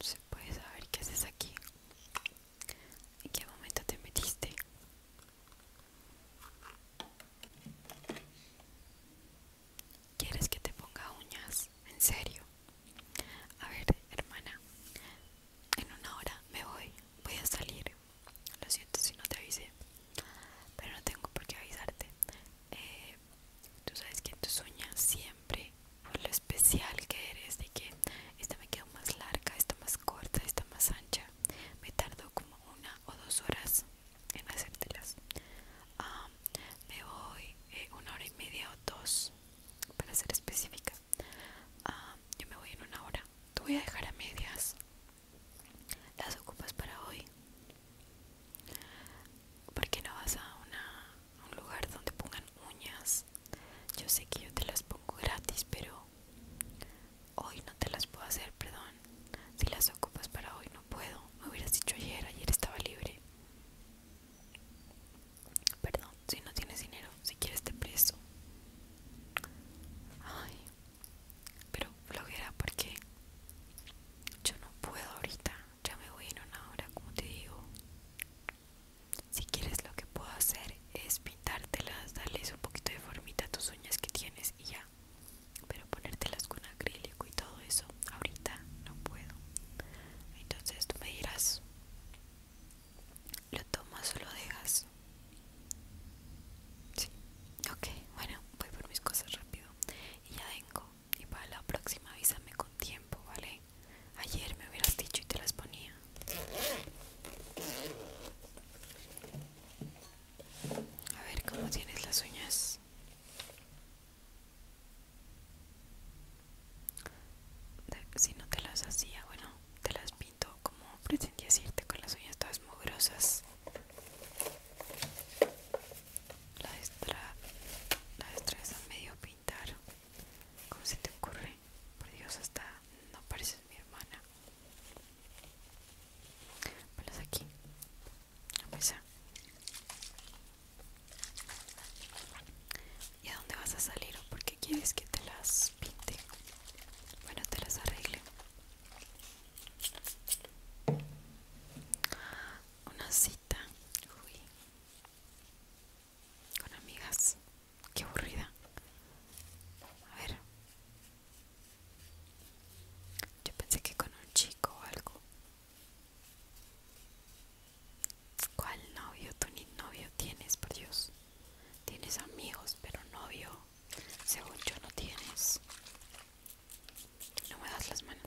Se puede saber qué haces aquí. ¿En qué momento te metiste? ¿Quieres que te ponga uñas? ¿En serio? A ver, hermana. En una hora me voy. Voy a salir. Lo siento si no te avisé. Pero no tengo por qué avisarte. Eh, Tú sabes que tú sueñas siempre por lo especial que eres, de que esta me quedó más larga, esta más corta, esta más ancha. Me tardo como una o dos horas en hacértelas. me voy eh, una hora y media o dos, para ser específica. yo me voy en una hora. Te voy a dejar a medias. Las ocupas para hoy. ¿Por qué no vas a, un lugar donde pongan uñas? Yo sé que yo te las pongo gratis, pero hoy no te las puedo hacer, perdón. Si las ocupas para hoy no puedo. Me hubieras dicho ayer, ayer estaba libre. Perdón, si no tienes dinero, si quieres te preso Ay, pero flojera porque yo no puedo ahorita ya me voy en una hora, como te digo. Si quieres lo que puedo hacer es pintártelas, darles un poquito de formita a tus uñas que tienes y ya. Pero ponértelas con acrílico y todo eso, ahorita no puedo. Entonces tú me dirás, ¿lo tomas o lo dejas? Sí, ok, bueno, voy por mis cosas rápido y ya vengo y para la próxima avísame con tiempo, ¿vale? Ayer me hubieras dicho y te las ponía. A ver cómo tienes las uñas. Si no te las hacía, bueno, te las pinto como pretendía decirte con las uñas todas mugrosas la, destra, la a medio pintar. ¿Cómo se te ocurre? Por Dios, hasta no pareces mi hermana. Ponlas aquí, a pesar ¿Y a dónde vas a salir o por qué quieres que te las pinte? Bueno, te las arregle. Una silla con amigas qué aburrida a ver yo pensé que con un chico o algo ¿Cuál novio? Tú ni novio tienes, por Dios. Tienes amigos, pero novio, según yo, no tienes. No me das las manos.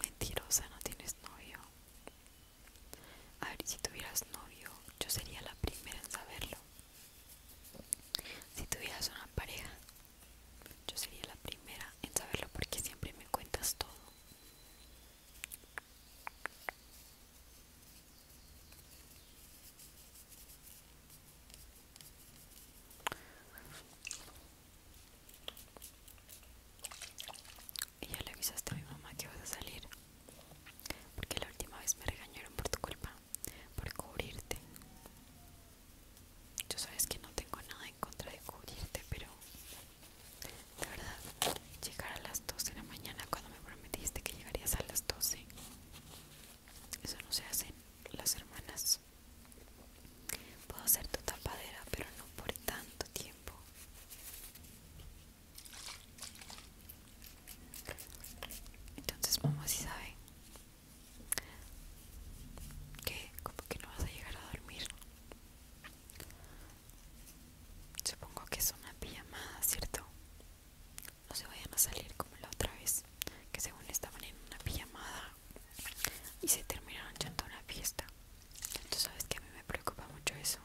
Mentirosa, no tienes novio. A ver, si tuvieras novio, yo sería la primera en saberlo. Si tuvieras una pareja, yo sería la primera en saberlo porque siempre me cuentas todo. Y ya le avisaste a mi mamá que vas a salir. Porque la última vez me regañaron por tu culpa, por cubrirte. Yo sabes que no tengo nada en contra de cubrirte, pero de verdad, llegar a las 12 de la mañana cuando me prometiste que llegarías a las 12. Eso no se en las hermanas. Puedo hacer tu tapadera, pero no por tanto tiempo. Entonces, mamá, si sabe que como que no vas a llegar a dormir. Supongo que es una pijamada, ¿cierto? no se vayan a salir como la otra vez que según estaban en una pijamada y se terminaron echando una fiesta entonces sabes que a mí me preocupa mucho eso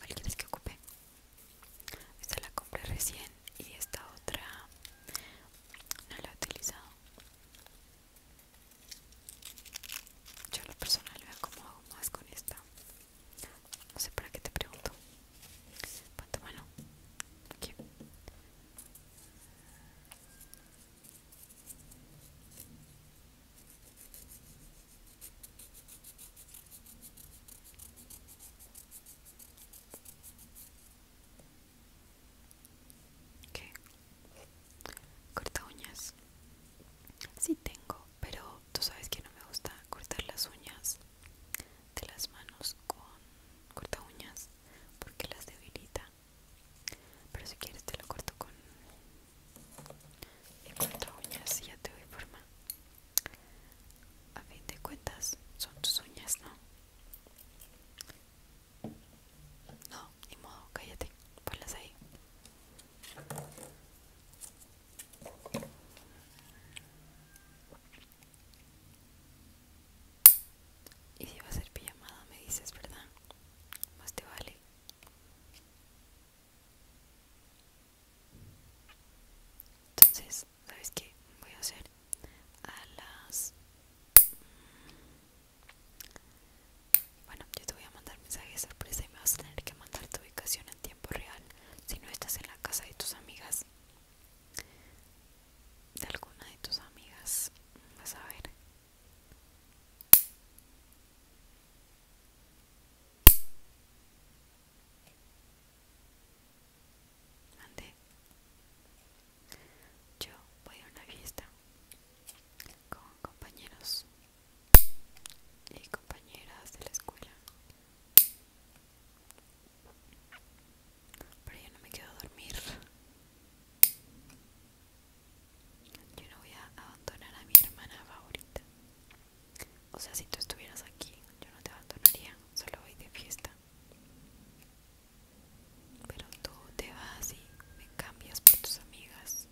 ¿Alguien es que ocupe? esta la compré recién y esta otra no la he utilizado yo a persona personal veo cómo hago más con esta. No sé para qué te pregunto. Ponte mano. Corta uñas. Sí tengo, pero tú sabes que no me gusta cortar las uñas de las manos con corta uñas porque las debilita. Pero si quieres te lo corto con corta uñas y ya te doy forma. A fin de cuentas son tus uñas, ¿no? No, ni modo, cállate, ponlas ahí. Y si va a ser pillamada me dices, ¿verdad? Más te vale. Entonces, ¿sabes qué? Voy a hacer a las bueno, yo te voy a mandar mensaje de sorpresa y me vas a tener que mandar tu ubicación en tiempo real si no estás en la casa de tus amigas. De alguna de tus amigas, vas a ver. Ande. Yo voy a una fiesta con compañeros y compañeras de la escuela. Pero yo no me quedo a dormir. Yo no voy a abandonar a mi hermana favorita. O sea, si tú estuvieras aquí, yo no te abandonaría. Solo voy de fiesta. Pero tú te vas y me cambias por tus amigas.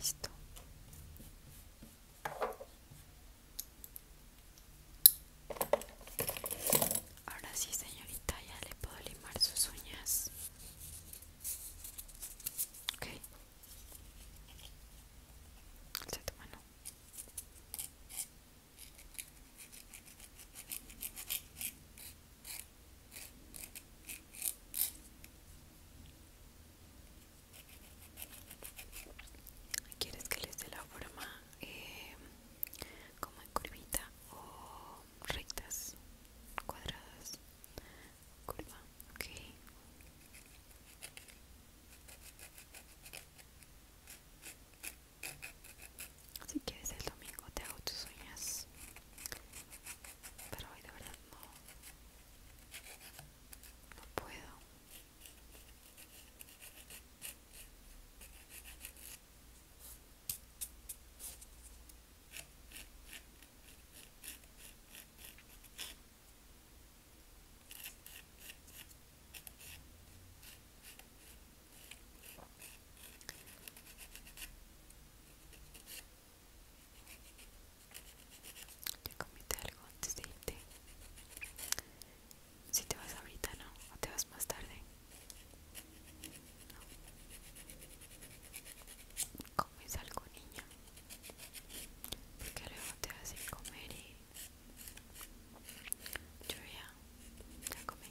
Listo. Ahora sí, señorita, ya le puedo limar sus uñas. Ok. ¿Quieres que les dé la forma eh, como en curvita o rectas, cuadradas? curva, ok si quieres el domingo te hago tus uñas pero hoy de verdad no no puedo ¿Ya comiste algo antes de irte? Si te vas ahorita, ¿no? ¿O te vas más tarde? ¿Comes algo, niña? porque luego te vas a ir comer y yo ya, ya comí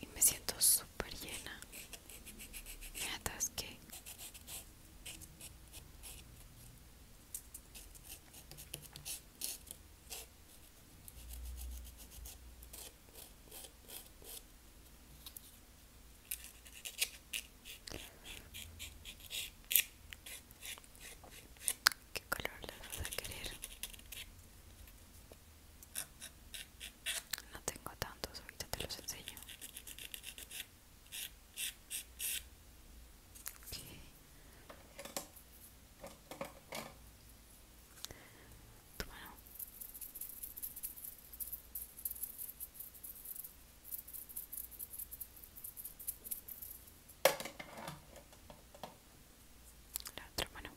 y me siento súper llena me atasqué ¿Qué color le vas a querer? No tengo tantos, ahorita te los enseño. La otra mano.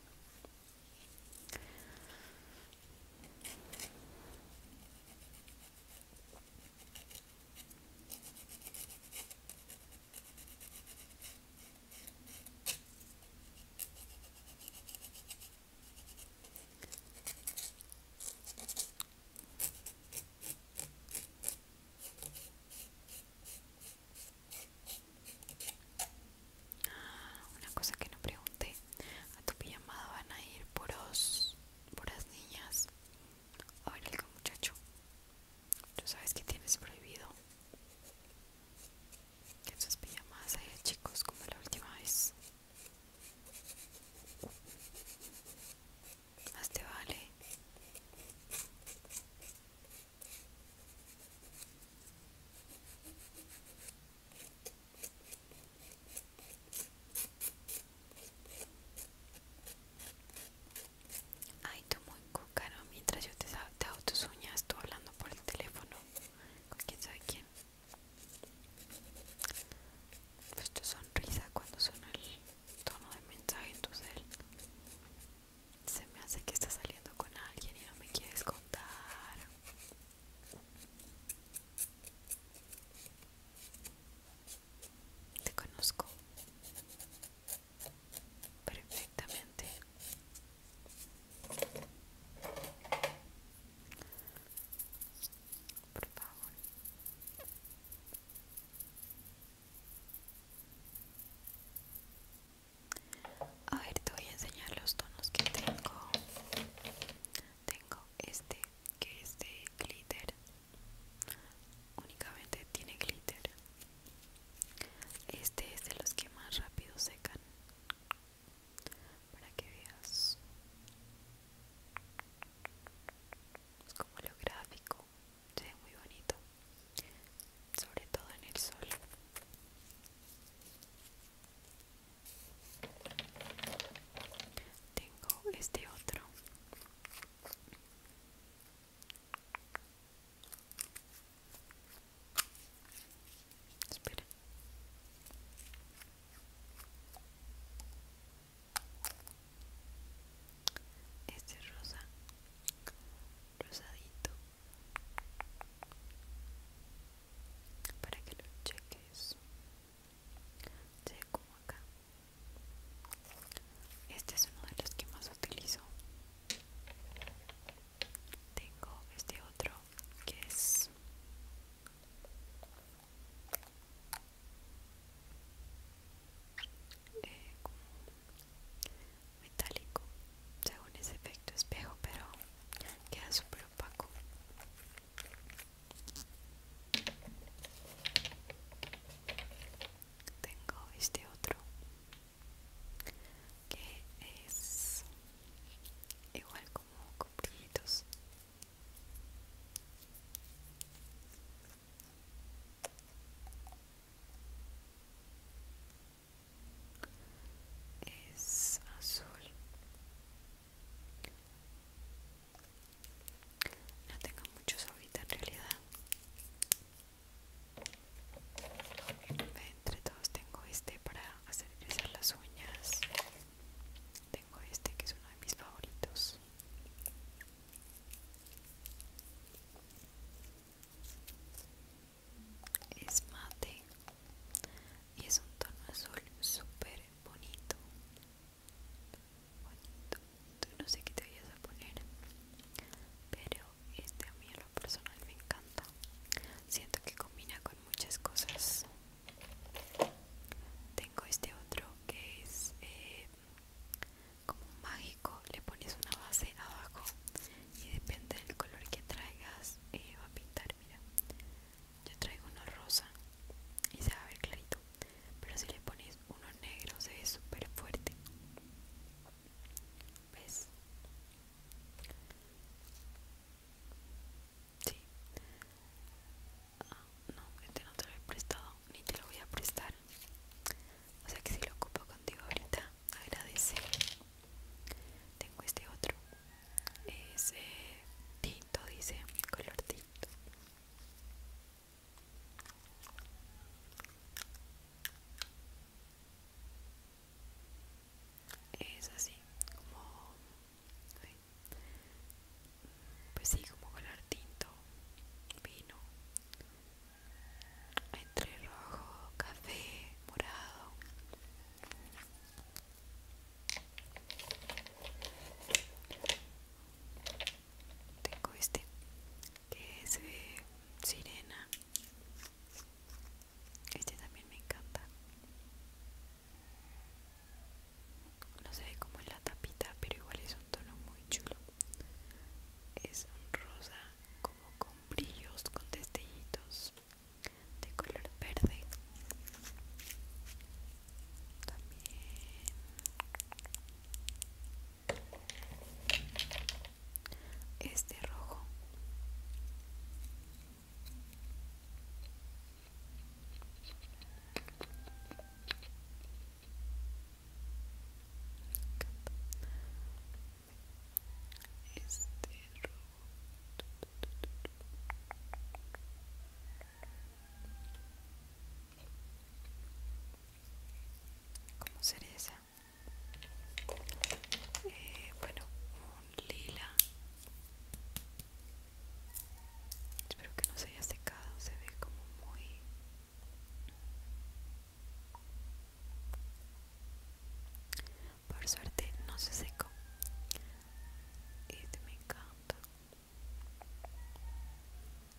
Una cosa que no pregunté, a tu pijamada van a ir por Por las niñas. A ver, algo muchacho, tú sabes que tienes prohibido en sus pijamas chicos como la última vez más te vale Ay, tú muy caro mientras yo te, te hago tus uñas, tú hablando por el teléfono con quién sabe quién. Pues sonrisa cuando suena el tono de mensaje en tu cel. Se me hace que está saliendo con alguien y no me quieres contar. Te conozco perfectamente. A ver, te voy a enseñar los tonos que tengo. Tengo este, que es de glitter. Únicamente tiene glitter. Este es de los que más rápido secan para que veas como lo gráfico se ve muy bonito sobre todo en el sol tengo este otro este es rosa, rosadito, para que lo cheques. ve como acá. Este es uno de los que más utilizo. Tengo este otro que es eh, metálico según ese efecto espejo pero queda súper opaco tengo este otro que es igual es azul no tengo muchos ahorita en realidad entre todos tengo este para hacer crecer las uñas tengo este que es uno de mis favoritos es mate y es un tono azul súper bonito bonito no sé qué te vayas a poner pero este a mí lo personal me encanta. Siento que combina con muchas cosas. Tengo este otro que es eh, como mágico. Le pones una base abajo y depende del color que traigas eh, va a pintar. Mira, yo traigo uno rosa y se va a ver clarito. Pero si le pones uno negro se ve súper fuerte. ¿Ves? Ah, no, este no te lo he prestado, ni te lo voy a prestar. O sea que si lo ocupo contigo ahorita, agradece. Tengo este otro. Es eh, tinto, dice, color tinto es así como ¿sí? pues sí como color tinto vino entre rojo café morado tengo este que es sirena este también me encanta. No se ve como en la tapita, pero igual es un tono muy chulo. Es un rosa como con brillos, con destellitos de color verde. También este rojo este robot ¿Cómo sería esa? Eh, bueno, lila espero que no se haya secado se ve como muy por suerte no se secó este me encanta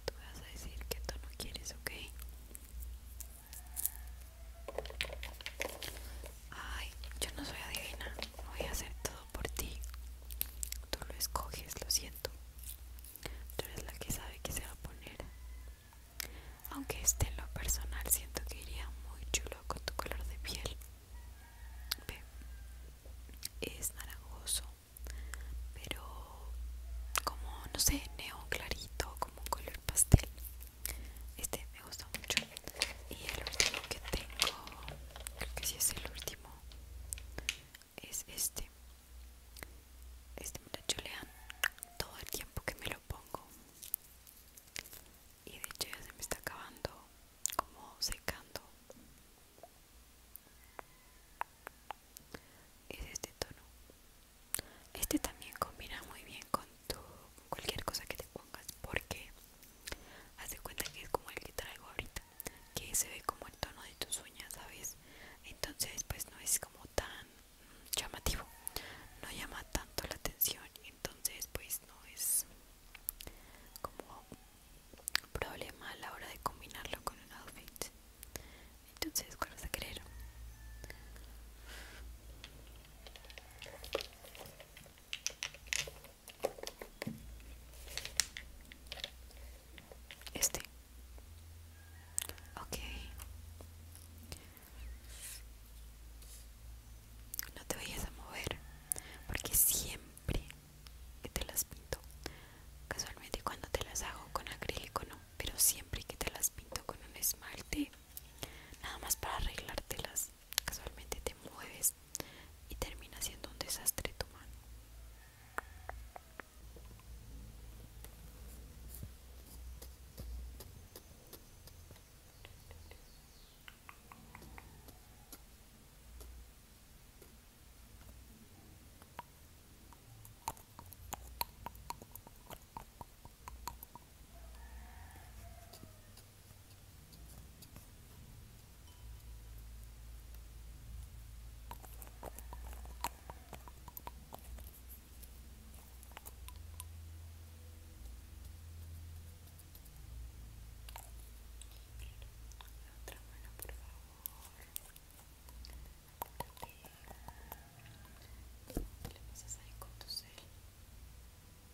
tú vas a decir que tú no quieres ok Ay, yo no soy adivina, voy a hacer todo por ti. Tú lo escoges, lo siento. Tú eres la que sabe que se va a poner. Aunque este en lo personal siento que iría muy chulo con tu color de piel. es naranjoso, pero como, no sé, neón clarito, como un color pastel. Este me gusta mucho. Y el último que tengo, creo que sí es el último, es este. Este me lo todo el tiempo que me lo pongo. Y de hecho ya se me está acabando, como secando. Es este tono. Este también combina muy bien con cualquier cosa que te pongas porque hace cuenta que es como el que traigo ahorita que se ve como el tono de tus uñas sabes entonces pues no es como tan llamativo no llama tanto la atención entonces pues no es como problema a la hora de combinarlo con un outfit entonces cuál vas a querer este. Ok. No te vayas a mover porque siempre que te las pinto, casualmente cuando te las hago con acrílico no, pero siempre que te las pinto con un esmalte, nada más para arreglártelas, casualmente te mueves y termina siendo un desastre tu mano. Outra mano, por favor. Ele precisa sair conduzir. Vamos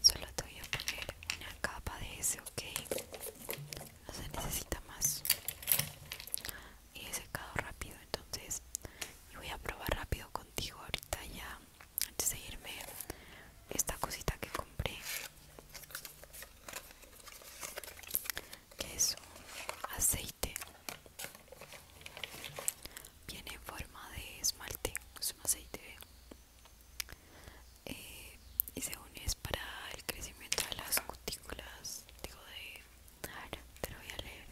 Solo te voy a poner una capa de ese, ok. No se necesita más. Y he secado rápido, entonces. voy a probar rápido contigo ahorita ya. Antes de irme, esta cosita que compré. Que es un aceite viene en forma de esmalte es un aceite y eh, y según es para el crecimiento de las cutículas digo de ver, te lo voy a leer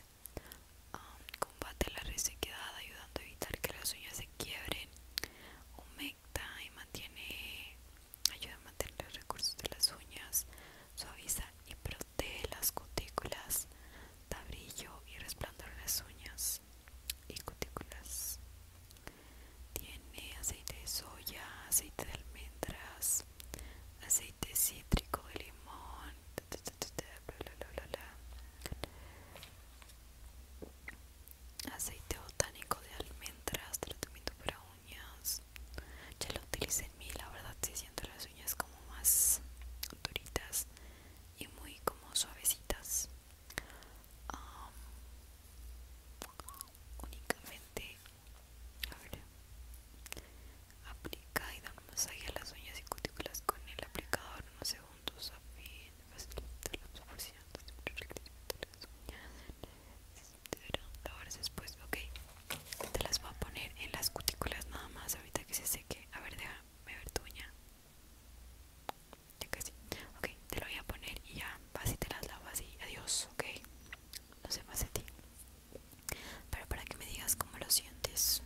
um, combate la resequedad ayudando a evitar que las uñas se quiebren humecta y mantiene ayuda a mantener los recursos de las uñas suaviza y protege de las cutículas da brillo y resplandor en las uñas y cutículas. Tiene aceite de soya, aceite de almendras, aceite cítrico de limón, aceite botánico de almendras, tratamiento para uñas. Ya lo utilicé en mi la verdad, si siento las las uñas como más duritas y muy como suavecitas únicamente a ver, aplica y da un masaje a las uñas y cutículas con el aplicador unos segundos a fin de facilitar la absorción de las uñas ahora después ok te las voy a poner en las cutículas nada más ahorita que se seque. A ver, déjame ver tu Ya casi. Ok, te lo voy a poner y ya vas y te las lavas y adiós, ok. No sé más de ti. Pero para que me digas cómo lo sientes.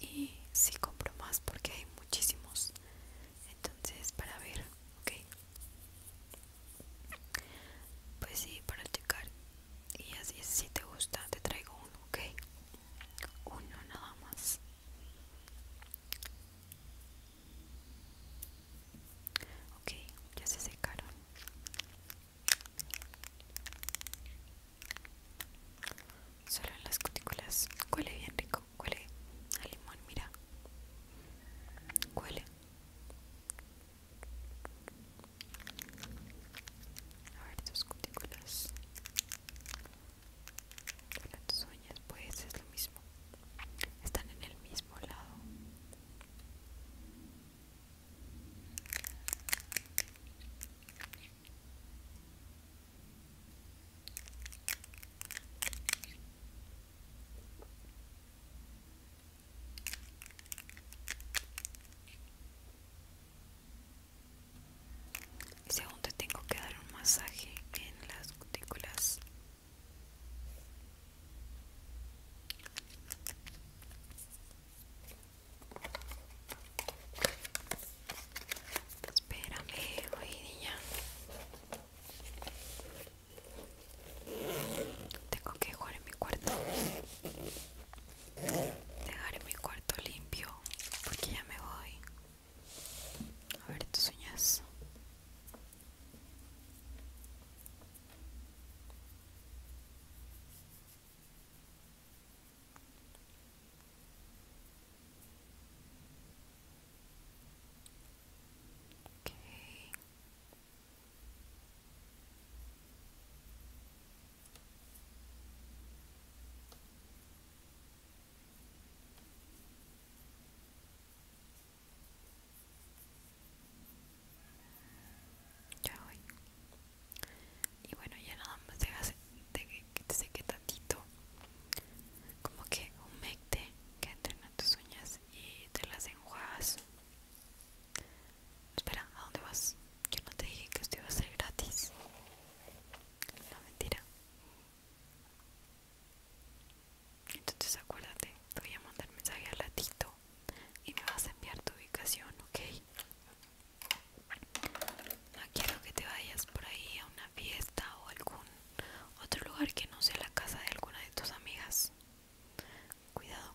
Y si compro más porque hay muchísimos. Entonces, para ver, ok. Pues sí, para checar y así si te gusta te traigo uno ok uno nada más ok ya se secaron solo en las cutículas huele bien rico huele a limón mira huele a ver tus cutículas. Para tus uñas, pues es lo mismo. Están en el mismo lado. Segundo tengo que dar un masaje en las cutículas. Espérame, hoy niña. Tengo que jugar en mi cuarto. Dejaré mi cuarto limpio porque ya me voy. A ver tus uñas. Ya voy. Y bueno, ya nada más vas de que te seque tantito. Como que mecte que entren a tus uñas y te las enjuagas. Espera, ¿a dónde vas? Yo no te dije que esto iba a ser gratis. No, mentira. Entonces acuérdate, te voy a mandar mensaje al ratito y me vas a enviar tu ubicación, ¿ok? No quiero que te vayas por ahí a una fiesta o algún otro lugar que no sea la casa de alguna de tus amigas. Cuidado.